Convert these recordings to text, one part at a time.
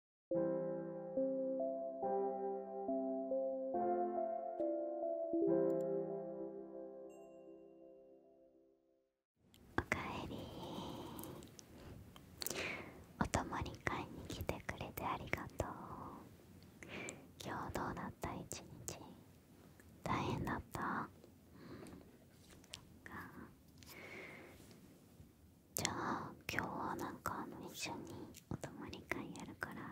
おかえりお泊まり会に来てくれてありがとう今日どうだった一日大変だった、うそっかじゃあ今日はなんかあの一緒にお泊まり会やるから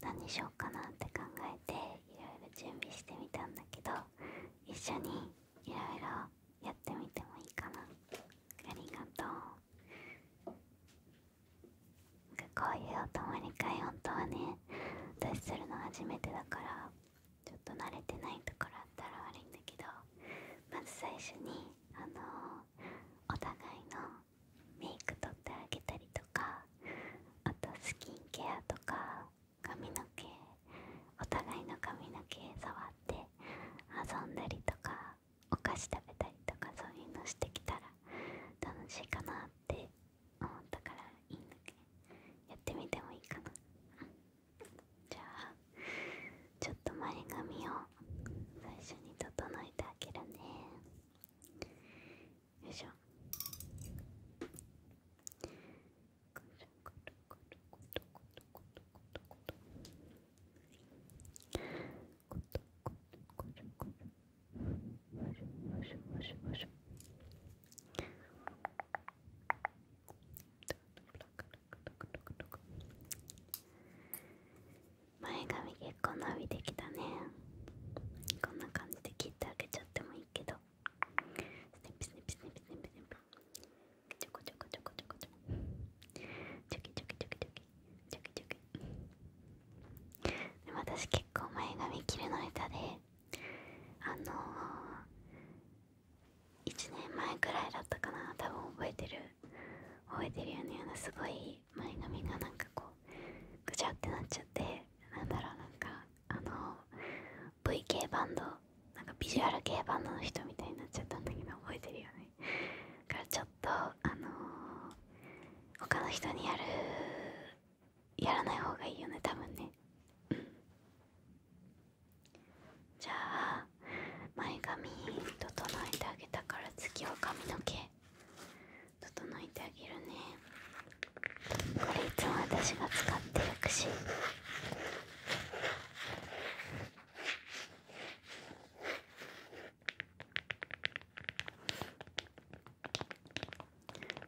何しようかなって考えていろいろ準備してみたんだけど一緒にいろいろやってみてもいいかなありがとうこういうお泊まり会本当はね私するの初めてだからちょっと慣れてないところあったら悪いんだけどまず最初にあのお互いのメイクとってあげたりとかあとスキンケアとか髪の毛お互いの髪の毛触って遊んだりとかお菓子食べたりとかそういうのしてきたら楽しいかなって思ったからいいんだけどやってみてもいいかな。じゃあちょっと前髪を最初に整えてあげるねよいしょ前髪結構伸びてきたねこんな感じで切ってあげちゃってもいいけどスネピスネピスネピスネピスネピちょこちょこちょこちょこちょこちょきちょきちょきちょきちょきちょきでも私結構前髪切るの下手であのー1年前くらいだったかな多分覚えてる覚えてるよねすごい前髪がなんかこうぐちゃってなっちゃってなんだろうなんかあの V 系バンドなんかビジュアル系バンドの人みたいになっちゃったんだけど覚えてるよねだからちょっとあの他の人にやるやらない方がいいよねたぶんねじゃあ前髪整えてあげたから次は髪の毛整えてあげるねこれいつも私が使ってるくし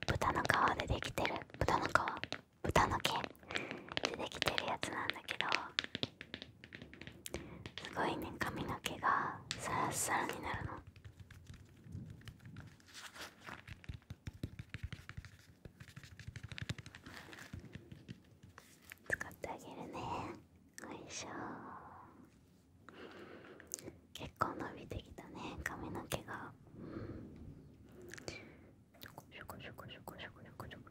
豚の皮でできてる豚の皮豚の毛でできてるやつなんだけどすごいね髪の毛がさらさらになるの使ってあげるねよいしょ結構伸びてきたね髪の毛が。ちょこちょこちょこちょこちょこちょこ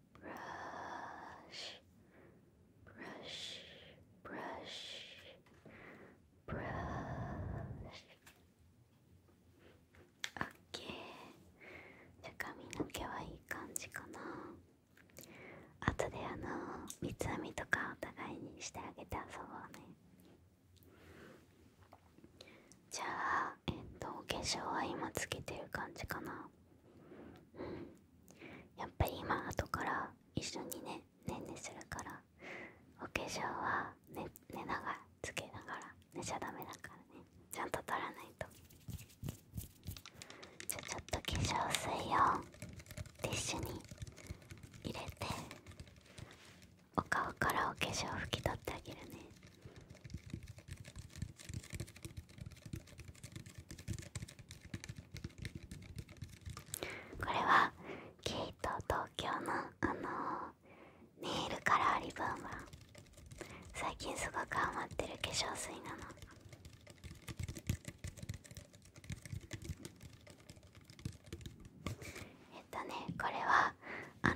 brush, b r u ブラ b シ u s h ー r u s h OK じゃ髪の毛はいい感じかなあとであの三つ編みとかお互いにしてあげて遊ぼうねじゃあえっとお化粧は今つけてる感じかなうんやっぱり今後から一緒にねねんねするからお化粧はね、寝ながらつけながら寝ちゃダメだからねちゃんと取らないとじゃあちょっと化粧水をティッシュに入れてお顔からお化粧拭き取ってあげるねこれはケイト東京のあのネイルカラーリブン。ム最近すごくハマってる化粧水なのえっとねこれはあの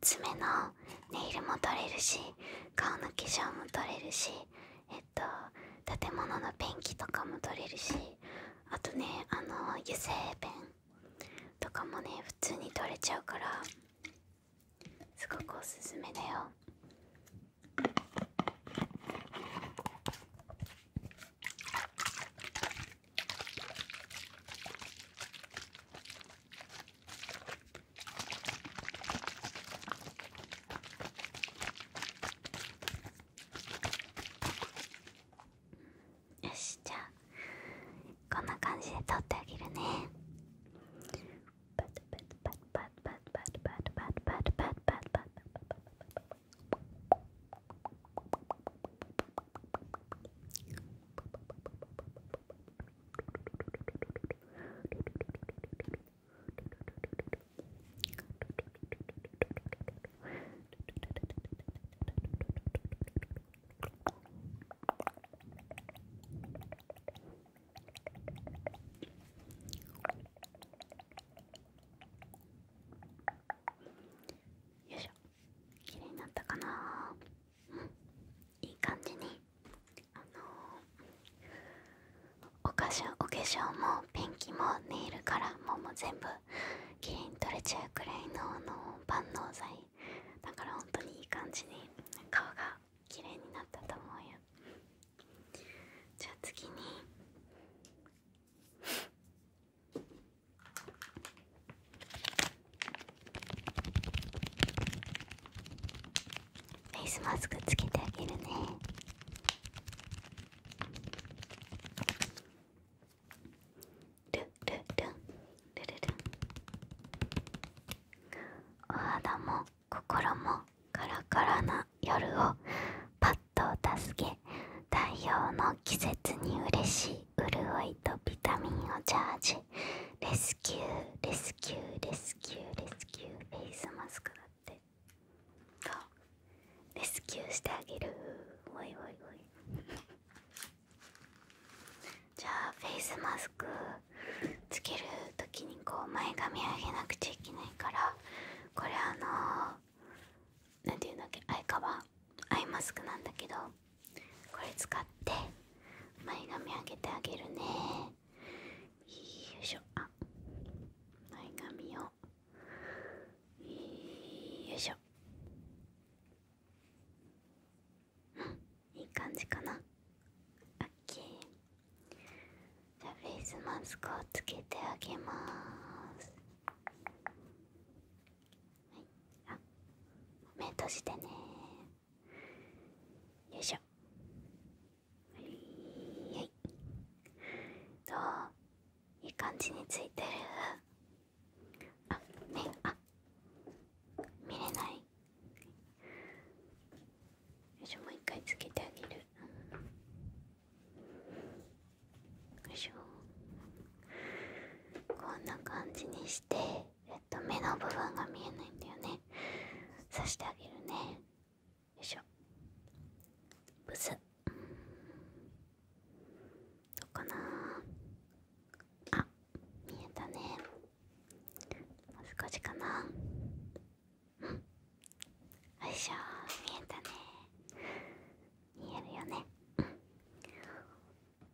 爪のネイルも取れるし顔の化粧も取れるしえっと建物のペンキとかも取れるしあとねあの油性ペンとかもね普通に取れちゃうからすごくおすすめだよ。よしじゃあこんな感じで取ってあげるねよよいしょ綺麗になったかなうんいい感じにあのお化粧お化粧もペンキもネイルカラーももう全部きれいに取れちゃうくらいの万能剤だから本当にいい感じに顔がきれいになったと思うよじゃあ次にフェイスマスクつけてあげるねルルルンルルルンお肌も心もカラカラな夜をパッとお助け太陽の季節に嬉しい潤いとビタミンをチャージレススキューレスキューレスキューレスキューフェイスマスクだってあ、うレスキューしてあげるおいおいおい じゃあフェイスマスクつける時にこう前髪上げなくちゃいけないからこれあの何て言うんだっけアイカバーアイマスクなんだけどこれ使って前髪あげてあげるねよいしょあ前髪をよいしょうんいい感じかなオッケーじゃあフェイスマスクをつけてあげますはいあ目閉じてねよいしょはいはいどういい感じについてるあ目あ見れないよいしょもう一回つけてあげるよいしょこんな感じにしてえっと目の部分が見えないんだよね刺してあげるねよいしょブスどうかなあ見えたねもう少しかなうんよいしょ見えたね見えるよね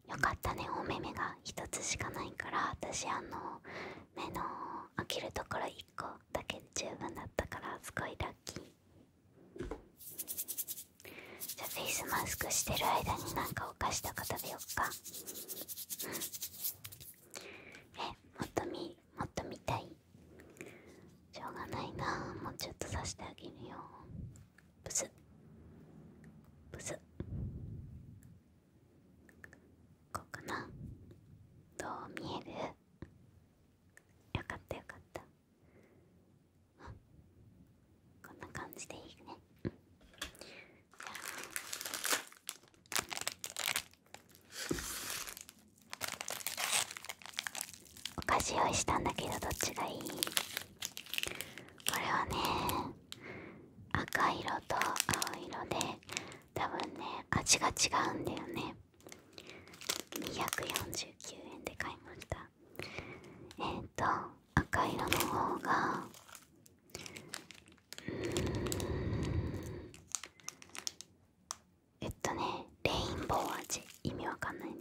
よかったねお目目が1つしかないから私あの目の開けるところ1個だけで十分だったからすごいラッキーじゃフェイスマスクしてる間になんかお菓子とか食べよっかえもっと見もっと見たいしょうがないなもうちょっとさしてあげるよブスブスこうかなどう見えるよかったよかったこんな感じでいいね、じゃあお菓子用意したんだけどどっちがいいこれはね赤色と青色で多分ね味が違うんだよね249円で買いましたえっ、と赤色の方がうん。えっとねレインボー味意味わかんないね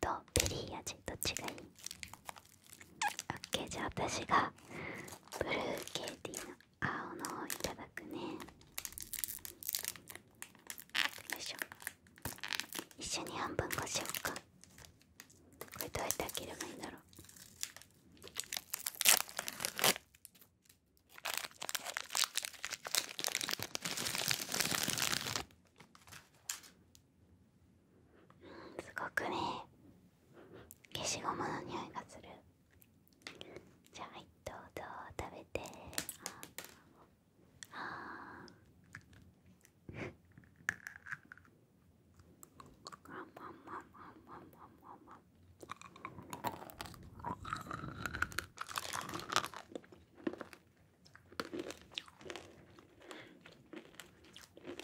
とベリー味どっちがいいオッケーじゃあ私がブルーケーティーの青のう。いただくねよいしょ一緒に半分こしようかこれどうやって開ければいいんだろうすごくね消しゴムの匂いがするじゃあはいどう食べてあああんまあまあまあまあ。まんまんまん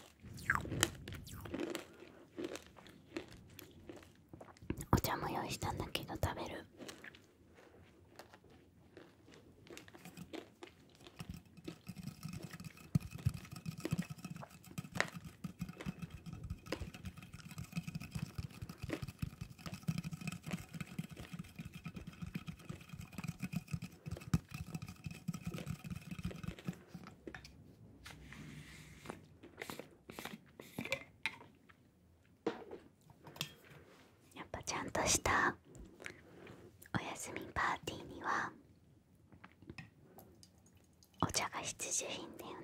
お茶も用意したんだけど食べるやっぱちゃんとしたお休みパーティーにはお茶が必需品だよね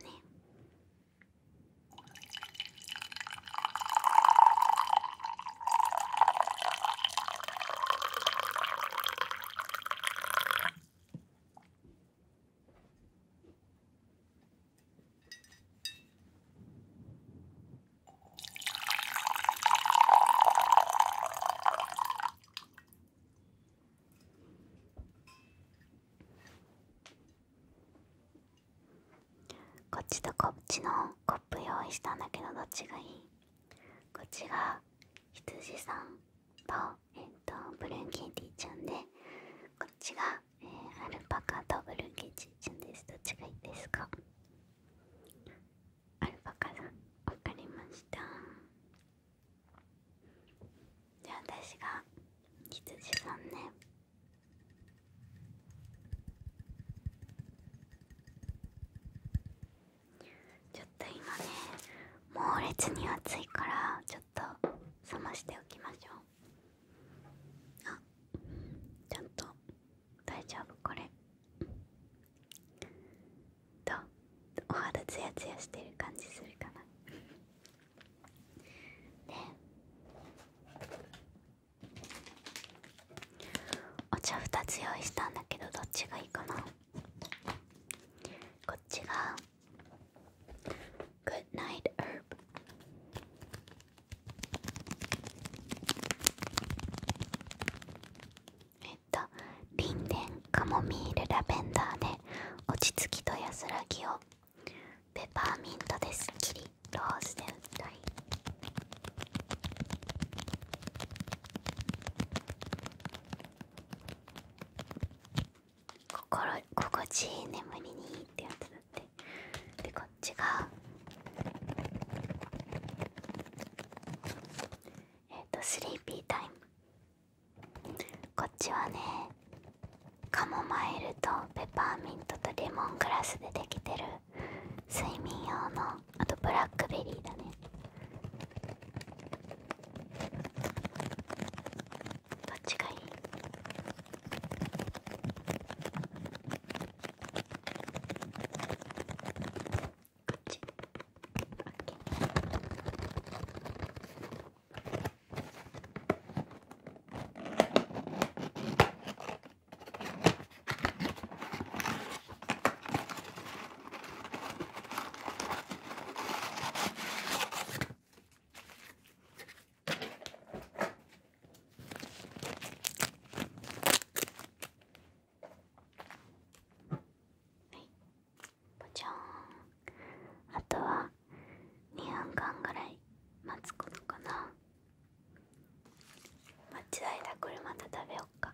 こっちとこっちのコップ用意したんだけどどっちがいいこっちが羊さんと,、えっとブルーケーティーちゃんでこっちが、えー、アルパカとブルーケーティーちゃんですどっちがいいですかアルパカさん分かりましたじゃあ私が羊さんねちょっと今ね猛烈に暑いからちょっと冷ましておきましょうあちょっと大丈夫これとお肌ツヤツヤしてる感じするかなでお茶2つ用意したんだけどどっちがいいかなこっちが Good Night Herb えっとリンデンカモミールラベンダーで落ち着きと安らぎをペパーミントですっきりロースで歌い心心地いい眠りにいいってやつだってでこっちがえっ、とスリーピータイムこっちはねカモマイルとペパーミントとレモングラスでできてる睡眠用のあとブラックベリーだねどっちがいいこっちポチョンあとは2分間ぐらい待つことかな待ちだ間これまた食べよっか。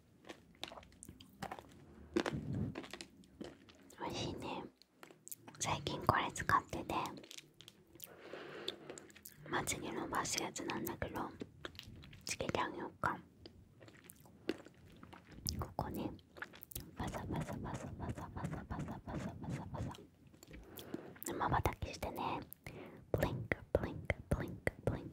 おいしいね最近これ使っててまつに伸ばすやつなんだけどつけてあげようかここねパサパサパサパサパサパサパサパサバサまばたきしてねブリンクブリンクブリンクブリンク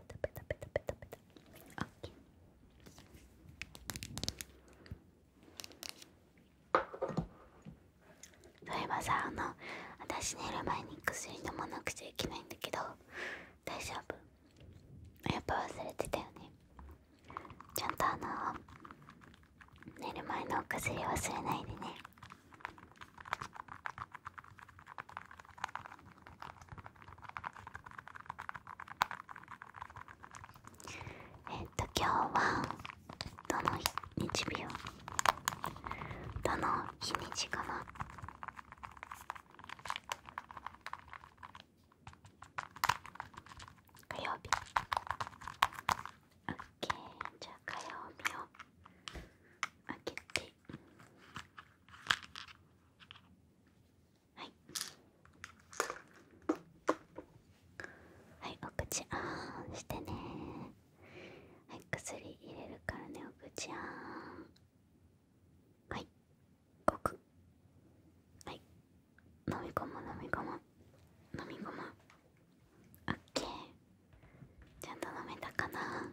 ペタペタペタペタペタ OK そういえばさあの私寝る前に薬飲まなくちゃいけないんだけど大丈夫やっぱ忘れてたよねちゃんとあの寝る前のお薬忘れないでねえっと今日はどの日日をどの日にちかな火曜日オッケーじゃあ火曜日を開けてはいはいお口あーんしてねはい薬入れるからねお口あーんはいごくはい飲み込む飲み込む飲み込むオッケーちゃんと飲めたかな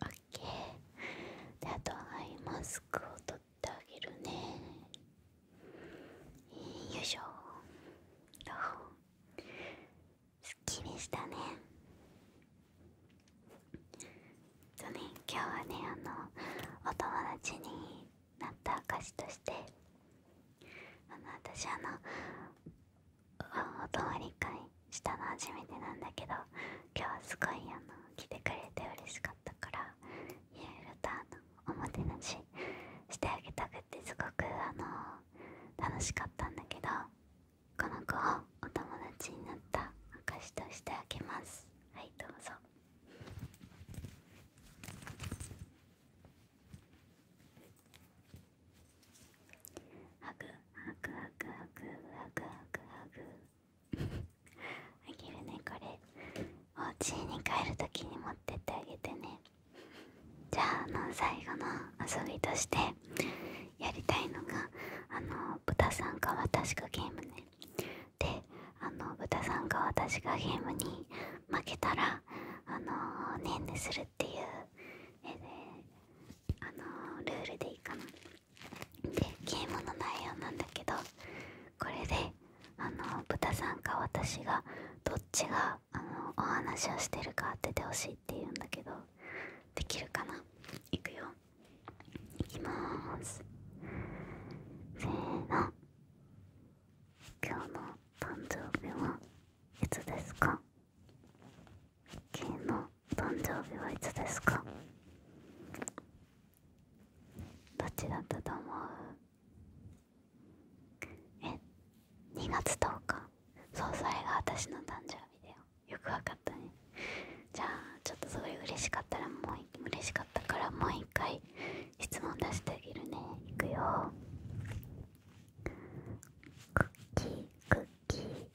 オッケーであとはマスクを取ってあげるねよいしょすっきりしたねとね今日はねあのお友達になった証としてあの私あのお通り会したの初めてなんだけど今日はすごいあの来てくれて嬉しかったからいろいろとのおもてなししてあげたくてすごくあの楽しかったんだけどこの子をお友達になった証としてあげますはいどうぞはグはグはグはグはグはグハグあげるねこれお家に帰るときに持ってってあげてねじゃああの最後の遊びとしてやりたいのがあの豚さんか私かゲームねであの豚さんか私かゲームに負けたらあのねんねするっていうえであのルールでいいかなでゲームの内容なんだけどこれであのー、豚さんか私がどっちがあのー、お話をしてるか当ててほしいっていうんだけどできるかないくよいきまーすせーの今日の誕生日はいつですか昨日誕生日はいつですかどっちだったと思うえ2月10日そうそれが私の誕生日だよよくわかったねじゃあちょっとすごい嬉しかったらもう嬉しかったからもう一回質問出してあげるねいくよクッキークッキー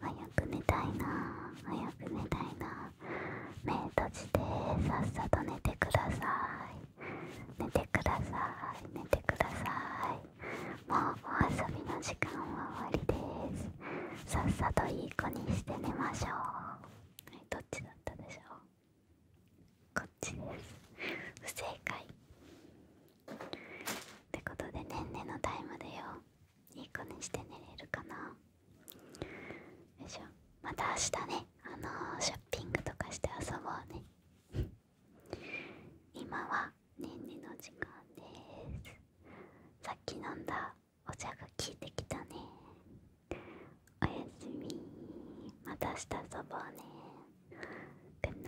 早く寝たいな早く寝たいな目閉じてさっさと寝てください寝てください寝てくださいもうお遊びの時間は終わりですさっさといい子にして寝ましょうはいどっちだったでしょうこっちです不正解ってことでねんねのタイムでよいい子にして寝れるかなよいしょまた明日ねあのショッピングとかして遊ぼうね 今はねんねの時間ですさっき飲んだお茶が効いてきたねおやすみまた明日遊ぼうねグッ o d n